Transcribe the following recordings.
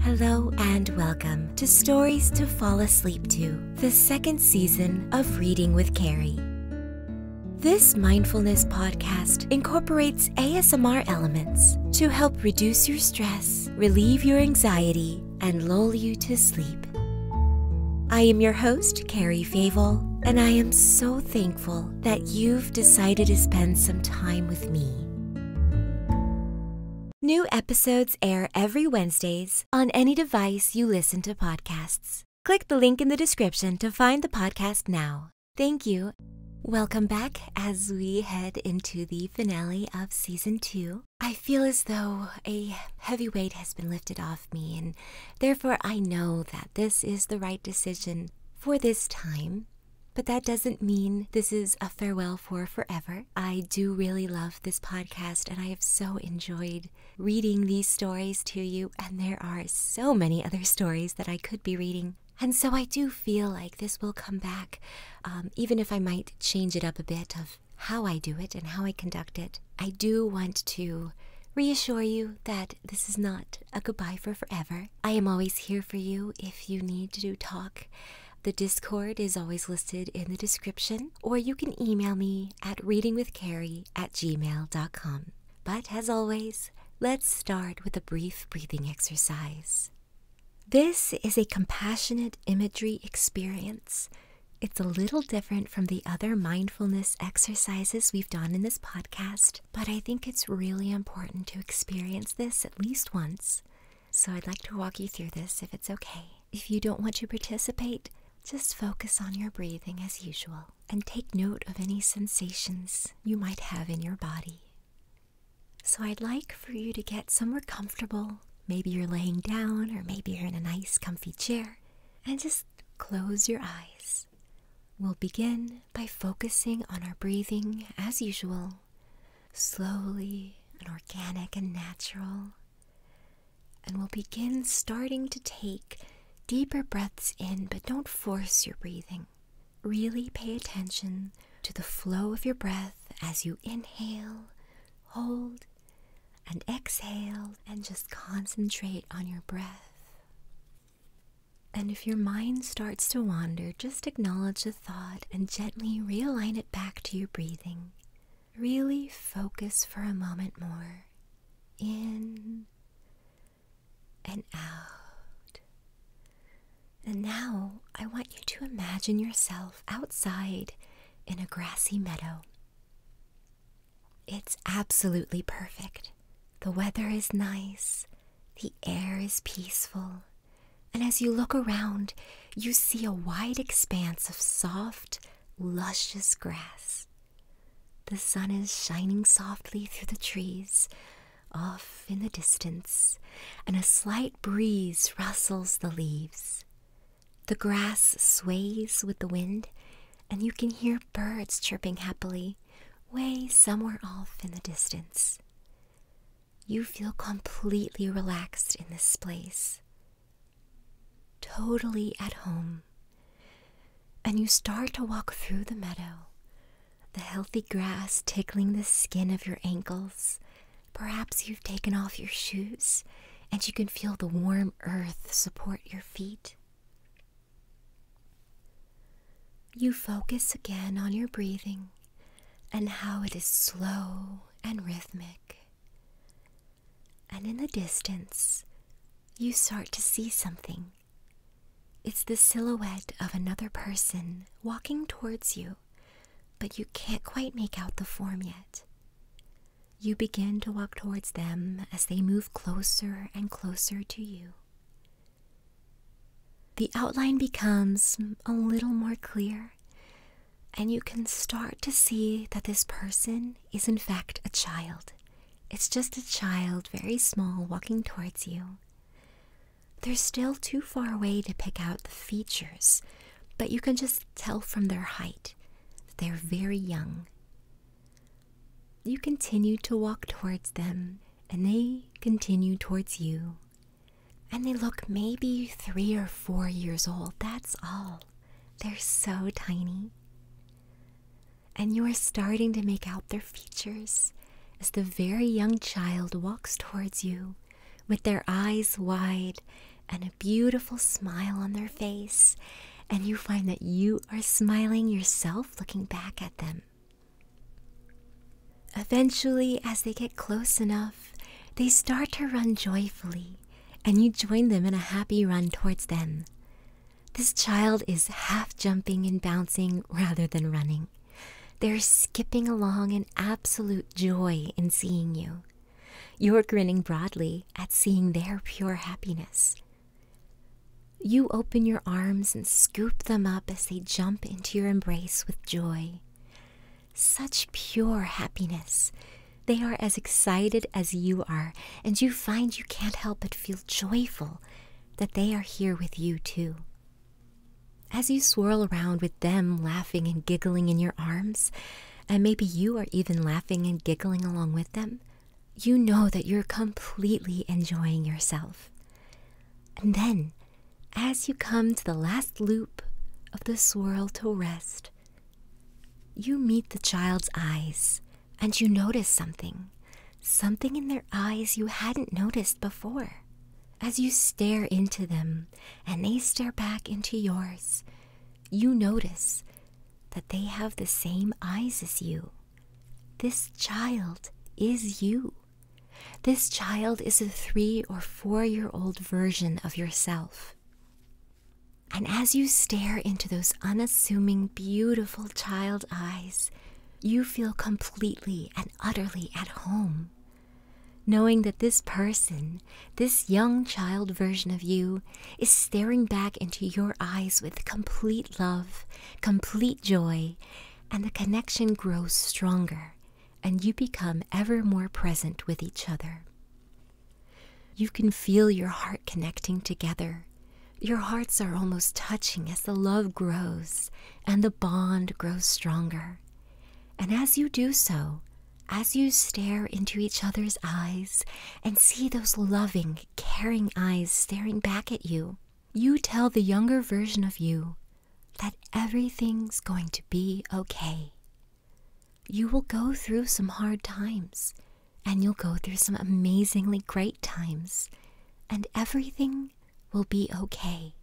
Hello and welcome to Stories to Fall Asleep to, the second season of Reading with Carrie. This mindfulness podcast incorporates ASMR elements to help reduce your stress, relieve your anxiety, and lull you to sleep. I am your host, Carrie Favel, and I am so thankful that you've decided to spend some time with me. New episodes air every Wednesdays on any device you listen to podcasts. Click the link in the description to find the podcast now. Thank you. Welcome back as we head into the finale of season two. I feel as though a heavy weight has been lifted off me, and therefore I know that this is the right decision for this time, but that doesn't mean this is a farewell for forever. I do really love this podcast, and I have so enjoyed reading these stories to you, and there are so many other stories that I could be reading. And so I do feel like this will come back, um, even if I might change it up a bit of how I do it and how I conduct it. I do want to reassure you that this is not a goodbye for forever. I am always here for you if you need to talk. The Discord is always listed in the description, or you can email me at readingwithcarrie at gmail.com. But as always, let's start with a brief breathing exercise. This is a compassionate imagery experience. It's a little different from the other mindfulness exercises we've done in this podcast but I think it's really important to experience this at least once. So I'd like to walk you through this if it's okay. If you don't want to participate, just focus on your breathing as usual and take note of any sensations you might have in your body. So I'd like for you to get somewhere comfortable. Maybe you're laying down or maybe you're in a nice comfy chair and just close your eyes. We'll begin by focusing on our breathing as usual, slowly and organic and natural. And we'll begin starting to take deeper breaths in, but don't force your breathing. Really pay attention to the flow of your breath as you inhale, hold, and exhale, and just concentrate on your breath. And if your mind starts to wander, just acknowledge the thought and gently realign it back to your breathing. Really focus for a moment more. In and out. And now I want you to imagine yourself outside in a grassy meadow. It's absolutely perfect. The weather is nice, the air is peaceful, and as you look around, you see a wide expanse of soft, luscious grass. The sun is shining softly through the trees, off in the distance, and a slight breeze rustles the leaves. The grass sways with the wind, and you can hear birds chirping happily way somewhere off in the distance. You feel completely relaxed in this place, totally at home. And you start to walk through the meadow, the healthy grass tickling the skin of your ankles. Perhaps you've taken off your shoes and you can feel the warm earth support your feet. You focus again on your breathing and how it is slow and rhythmic. And in the distance, you start to see something. It's the silhouette of another person walking towards you, but you can't quite make out the form yet. You begin to walk towards them as they move closer and closer to you. The outline becomes a little more clear, and you can start to see that this person is, in fact, a child. It's just a child, very small, walking towards you. They're still too far away to pick out the features, but you can just tell from their height that they're very young. You continue to walk towards them, and they continue towards you. And they look maybe three or four years old, that's all. They're so tiny. And you are starting to make out their features as the very young child walks towards you with their eyes wide and a beautiful smile on their face and you find that you are smiling yourself looking back at them. Eventually, as they get close enough, they start to run joyfully, and you join them in a happy run towards them. This child is half jumping and bouncing rather than running. They're skipping along in absolute joy in seeing you. You're grinning broadly at seeing their pure happiness. You open your arms and scoop them up as they jump into your embrace with joy. Such pure happiness. They are as excited as you are, and you find you can't help but feel joyful that they are here with you too. As you swirl around with them, laughing and giggling in your arms, and maybe you are even laughing and giggling along with them, you know that you're completely enjoying yourself. And then, as you come to the last loop of the swirl to rest, you meet the child's eyes and you notice something, something in their eyes you hadn't noticed before. As you stare into them and they stare back into yours, you notice that they have the same eyes as you. This child is you. This child is a three or four year old version of yourself. And as you stare into those unassuming, beautiful child eyes, you feel completely and utterly at home, knowing that this person this young child version of you is staring back into your eyes with complete love, complete joy, and the connection grows stronger and you become ever more present with each other. You can feel your heart connecting together. Your hearts are almost touching as the love grows and the bond grows stronger. And as you do so, as you stare into each other's eyes and see those loving, caring eyes staring back at you, you tell the younger version of you that everything's going to be okay. You will go through some hard times, and you'll go through some amazingly great times, and everything will be okay.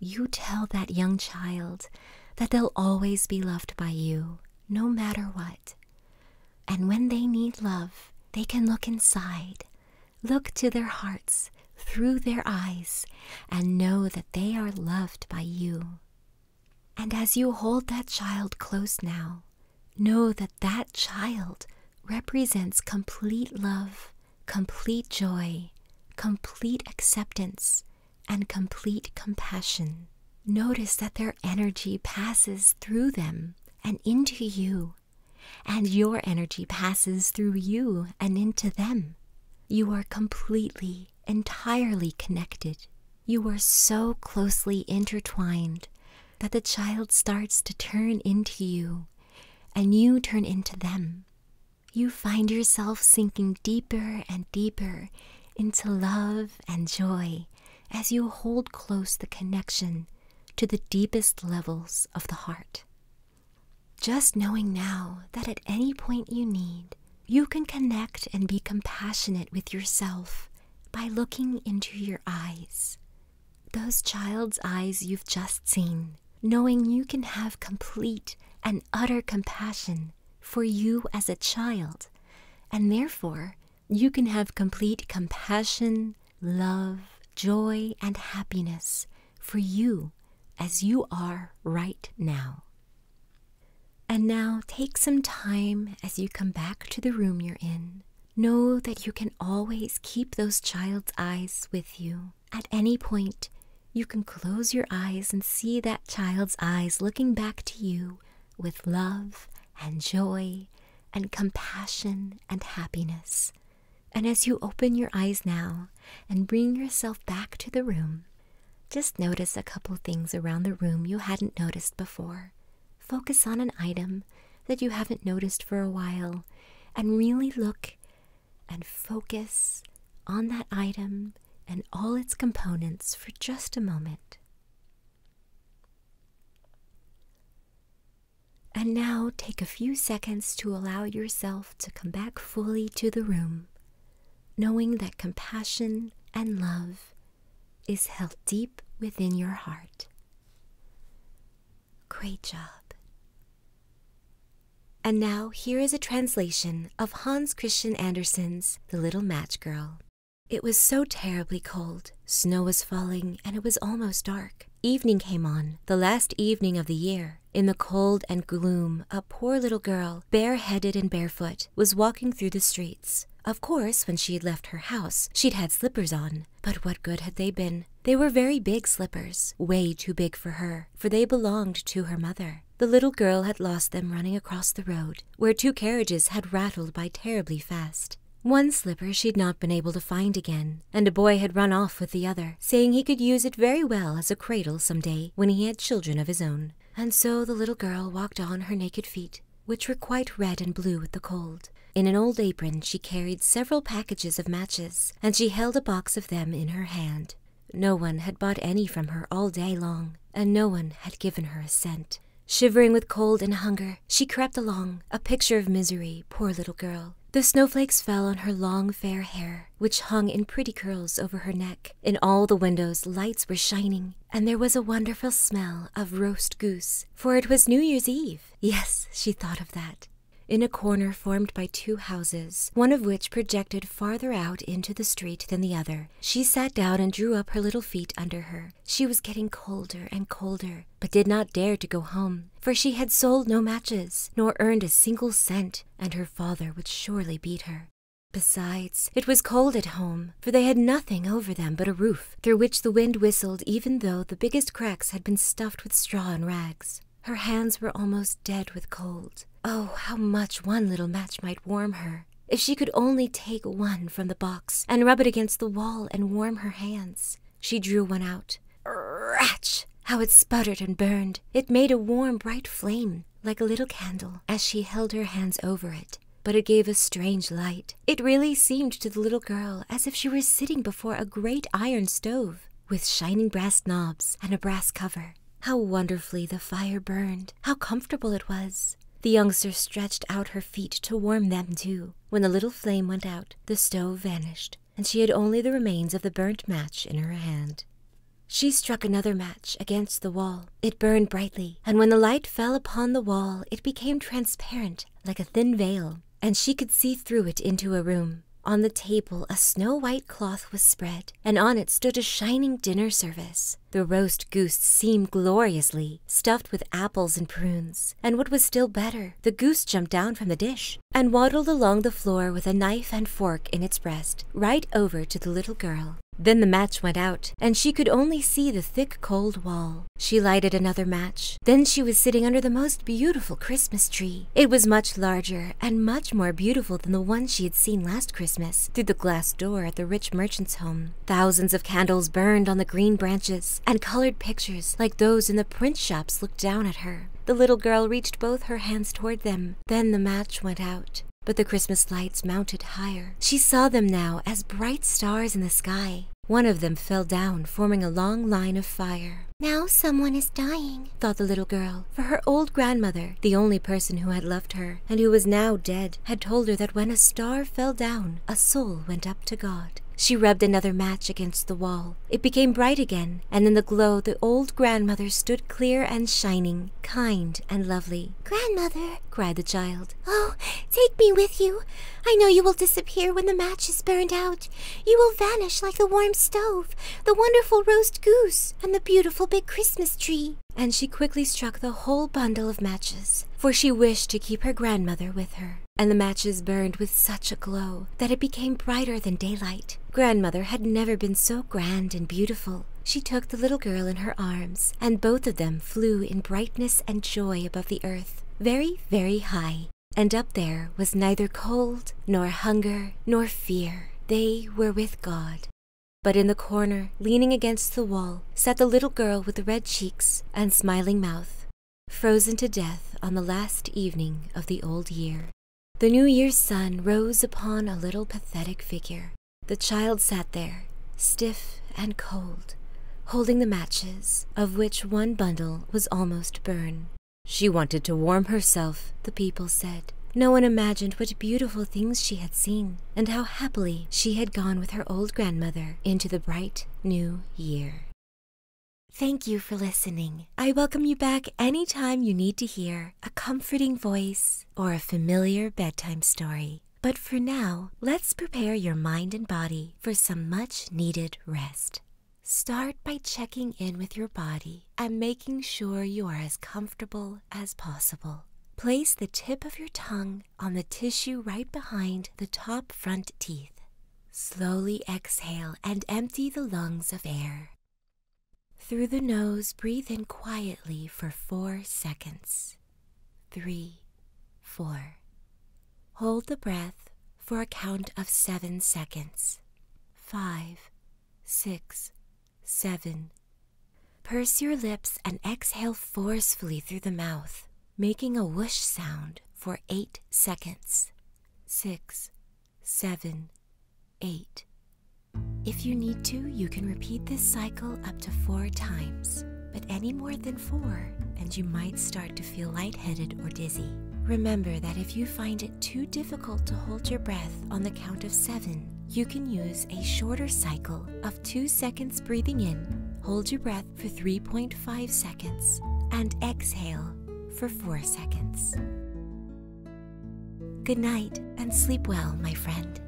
You tell that young child that they'll always be loved by you, no matter what. And when they need love, they can look inside, look to their hearts through their eyes, and know that they are loved by you. And as you hold that child close now, know that that child represents complete love, complete joy, complete acceptance, and complete compassion. Notice that their energy passes through them and into you, and your energy passes through you and into them. You are completely, entirely connected. You are so closely intertwined that the child starts to turn into you and you turn into them. You find yourself sinking deeper and deeper into love and joy as you hold close the connection to the deepest levels of the heart. Just knowing now that at any point you need, you can connect and be compassionate with yourself by looking into your eyes. Those child's eyes you've just seen, knowing you can have complete and utter compassion for you as a child, and therefore you can have complete compassion, love, joy, and happiness for you as you are right now. And now take some time as you come back to the room you're in. Know that you can always keep those child's eyes with you. At any point, you can close your eyes and see that child's eyes looking back to you with love and joy and compassion and happiness. And as you open your eyes now and bring yourself back to the room, just notice a couple things around the room you hadn't noticed before. Focus on an item that you haven't noticed for a while and really look and focus on that item and all its components for just a moment. And now take a few seconds to allow yourself to come back fully to the room, knowing that compassion and love is held deep within your heart. Great job. And now here is a translation of Hans Christian Andersen's The Little Match Girl. It was so terribly cold. Snow was falling, and it was almost dark. Evening came on, the last evening of the year. In the cold and gloom, a poor little girl, bareheaded and barefoot, was walking through the streets. Of course, when she had left her house, she'd had slippers on. But what good had they been? They were very big slippers, way too big for her, for they belonged to her mother. The little girl had lost them running across the road, where two carriages had rattled by terribly fast. One slipper she had not been able to find again, and a boy had run off with the other, saying he could use it very well as a cradle some day when he had children of his own. And so the little girl walked on her naked feet, which were quite red and blue with the cold. In an old apron she carried several packages of matches, and she held a box of them in her hand. No one had bought any from her all day long, and no one had given her a cent. Shivering with cold and hunger, she crept along, a picture of misery, poor little girl. The snowflakes fell on her long fair hair, which hung in pretty curls over her neck. In all the windows lights were shining, and there was a wonderful smell of roast goose, for it was New Year's Eve. Yes, she thought of that. In a corner formed by two houses, one of which projected farther out into the street than the other. She sat down and drew up her little feet under her. She was getting colder and colder, but did not dare to go home, for she had sold no matches, nor earned a single cent, and her father would surely beat her. Besides, it was cold at home, for they had nothing over them but a roof, through which the wind whistled even though the biggest cracks had been stuffed with straw and rags. Her hands were almost dead with cold. Oh, how much one little match might warm her! If she could only take one from the box and rub it against the wall and warm her hands. She drew one out. Ratch! How it sputtered and burned. It made a warm, bright flame, like a little candle, as she held her hands over it. But it gave a strange light. It really seemed to the little girl as if she were sitting before a great iron stove with shining brass knobs and a brass cover. How wonderfully the fire burned! How comfortable it was! The youngster stretched out her feet to warm them too. When the little flame went out, the stove vanished, and she had only the remains of the burnt match in her hand. She struck another match against the wall. It burned brightly, and when the light fell upon the wall, it became transparent like a thin veil, and she could see through it into a room. On the table, a snow white cloth was spread, and on it stood a shining dinner service. The roast goose seemed gloriously, stuffed with apples and prunes, and what was still better, the goose jumped down from the dish and waddled along the floor with a knife and fork in its breast, right over to the little girl. Then the match went out, and she could only see the thick cold wall. She lighted another match. Then she was sitting under the most beautiful Christmas tree it was much larger and much more beautiful than the one she had seen last Christmas through the glass door at the rich merchant's home. Thousands of candles burned on the green branches, and colored pictures like those in the print shops looked down at her. The little girl reached both her hands toward them. Then the match went out. But the Christmas lights mounted higher. She saw them now as bright stars in the sky. One of them fell down, forming a long line of fire. Now someone is dying, thought the little girl, for her old grandmother, the only person who had loved her, and who was now dead, had told her that when a star fell down, a soul went up to God. She rubbed another match against the wall. It became bright again, and in the glow the old grandmother stood clear and shining, kind and lovely. Grandmother, cried the child, oh, take me with you. I know you will disappear when the match is burned out. You will vanish like the warm stove, the wonderful roast goose, and the beautiful big Christmas tree. And she quickly struck the whole bundle of matches, for she wished to keep her grandmother with her. And the matches burned with such a glow that it became brighter than daylight. Grandmother had never been so grand and beautiful. She took the little girl in her arms, and both of them flew in brightness and joy above the earth, very, very high and up there was neither cold, nor hunger, nor fear. They were with God. But in the corner, leaning against the wall, sat the little girl with the red cheeks and smiling mouth, frozen to death on the last evening of the old year. The New Year's sun rose upon a little pathetic figure. The child sat there, stiff and cold, holding the matches, of which one bundle was almost burned. She wanted to warm herself, the people said. No one imagined what beautiful things she had seen, and how happily she had gone with her old grandmother into the bright new year. Thank you for listening. I welcome you back any time you need to hear a comforting voice or a familiar bedtime story. But for now, let's prepare your mind and body for some much needed rest. Start by checking in with your body and making sure you are as comfortable as possible. Place the tip of your tongue on the tissue right behind the top front teeth. Slowly exhale and empty the lungs of air. Through the nose, breathe in quietly for four seconds. Three, four. Hold the breath for a count of seven seconds. Five, six, seven. Purse your lips and exhale forcefully through the mouth, making a whoosh sound for eight seconds. Six, seven, eight. If you need to, you can repeat this cycle up to four times, but any more than four, and you might start to feel lightheaded or dizzy. Remember that if you find it too difficult to hold your breath on the count of seven, you can use a shorter cycle of two seconds breathing in, hold your breath for 3.5 seconds, and exhale for four seconds. Good night and sleep well, my friend.